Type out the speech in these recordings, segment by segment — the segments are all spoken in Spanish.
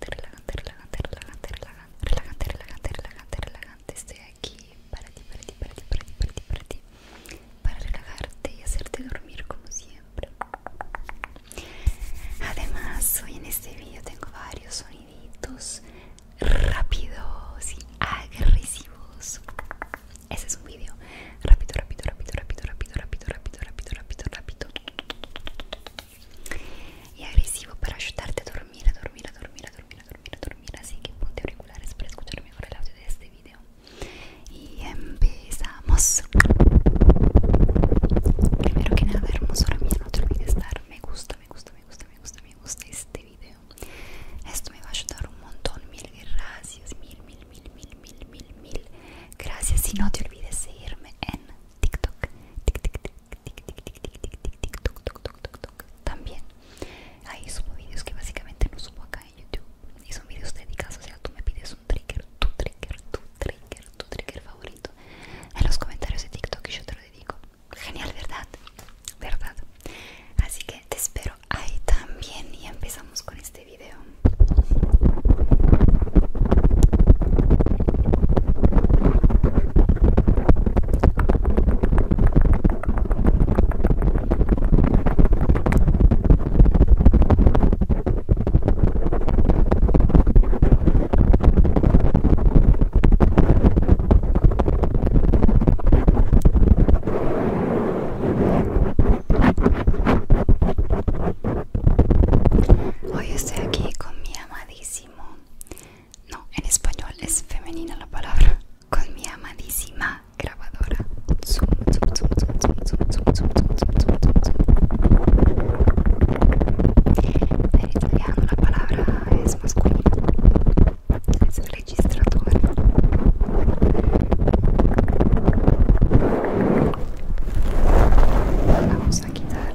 relajante, relajante, relajante, relajante, relajante, relajante, relajante, relajante, relajante. Estoy aquí para ti, para ti, para ti, para ti, para ti, para ti, para relajarte y hacerte dormir como siempre. Además, hoy en este video tengo varios soniditos rápidos y agresivos. Ese es un video rápido, rápido, rápido, rápido, rápido, rápido, rápido, rápido, rápido, rápido y agresivo para ayudarte a dormir, a dormir, a dormir, a dormir, a dormir, a dormir. Así que ponte auriculares para escuchar mejor el audio de este video. Y empezamos. Primero que nada, hermosura mía, no te olvides dar me gusta, me gusta, me gusta, me gusta, me gusta este video. Esto me va a ayudar un montón. Mil gracias, mil, mil, mil, mil, mil, mil, mil. Gracias y no te olvides de seguirme en TikTok, también. Ahí subo que básicamente no subo acá en YouTube. Y son TikTok, dedicados, o tú me pides un trigger, tu trigger, trigger, trigger favorito. En los comentarios de TikTok yo te lo dedico. Genial, ¿verdad? ¿Verdad? Así que te espero ahí también y empezamos con este video. Hoy estoy aquí con mi amadísimo no, en español es femenina la palabra. Con mi amadísima grabadora. Zoom, zoom, zoom, zoom, zoom, zoom, zoom, En italiano la palabra es masculina. Es registrador. Vamos a quitar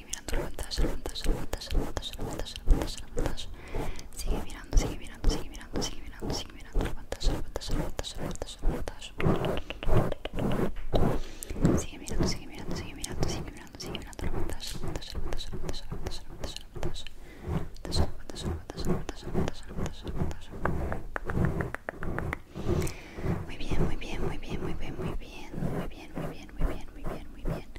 sigue mirando Sigue mirando, sigue mirando, sigue mirando, sigue mirando, sigue mirando Sigue mirando, sigue mirando, sigue mirando, sigue mirando, sigue mirando Muy bien, muy bien, muy bien, muy bien, muy bien, muy bien, muy bien, muy bien, muy bien, muy bien.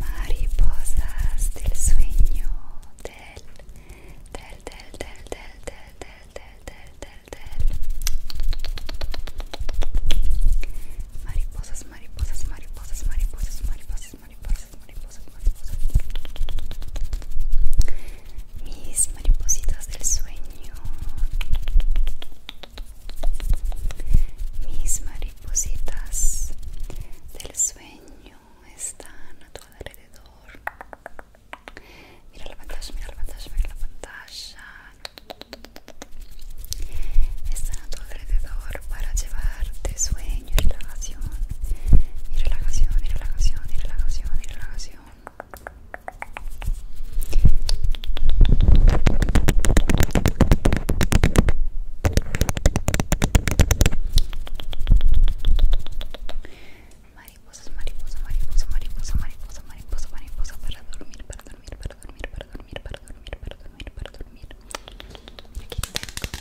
mariposas del sueño del del del del del del del del mariposas mariposas mariposas mariposas mariposas mariposas mis maripositas del sueño. Mis maripositas del sueño están a tu alrededor. Mira la pantalla, mira la pantalla, mira la pantalla. Están a tu alrededor para llevarte sueño y relajación relajación y relajación y relajación y relajación y relajación mariposas mariposa mariposa mariposa mariposa mariposa mariposa para dormir para dormir para dormir para dormir para dormir para dormir para dormir,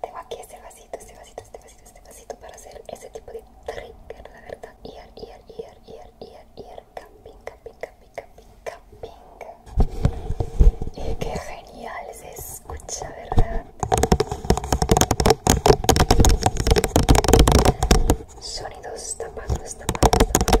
tengo aquí este vasito, este vasito, este vasito, este vasito para hacer ese tipo de trigger, la verdad. Ear, ear, ear, ear, ear, ear camping, camping, camping, camping, Y eh, qué genial se escucha, ¿verdad? Sonidos tapados, tapados, tapados.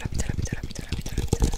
pita, la bueno, bueno, bueno,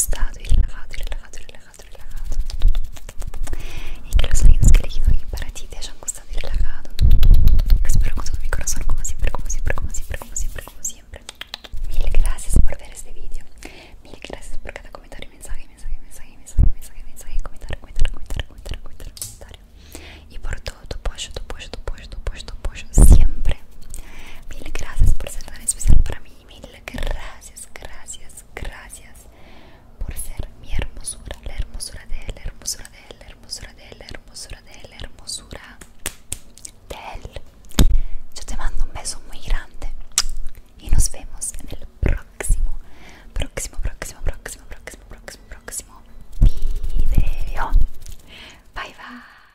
acostado y relajado, y relajado, y relajado, y relajado. Y que los links que he elegido hoy para ti te hayan gustado y relajado. espero con todo mi corazón, como siempre, como siempre, como siempre, como siempre, como siempre. Mil gracias por ver este vídeo. Mil gracias por cada comentario, mensaje, mensaje, mensaje, mensaje, mensaje, mensaje, comentario, comentario, comentario, comentario, comentario. comentario. Y por todo tu apoyo, por todo tu apoyo puesto siempre. Mil gracias por ser tan especial para mí. Mil gracias, gracias, gracias por ser mi hermosura, la hermosura de la hermosura de la hermosura de la hermosura de la hermosura Yo te mando un beso muy grande y nos vemos en el próximo, próximo, próximo, próximo, próximo, próximo, próximo video. Bye bye.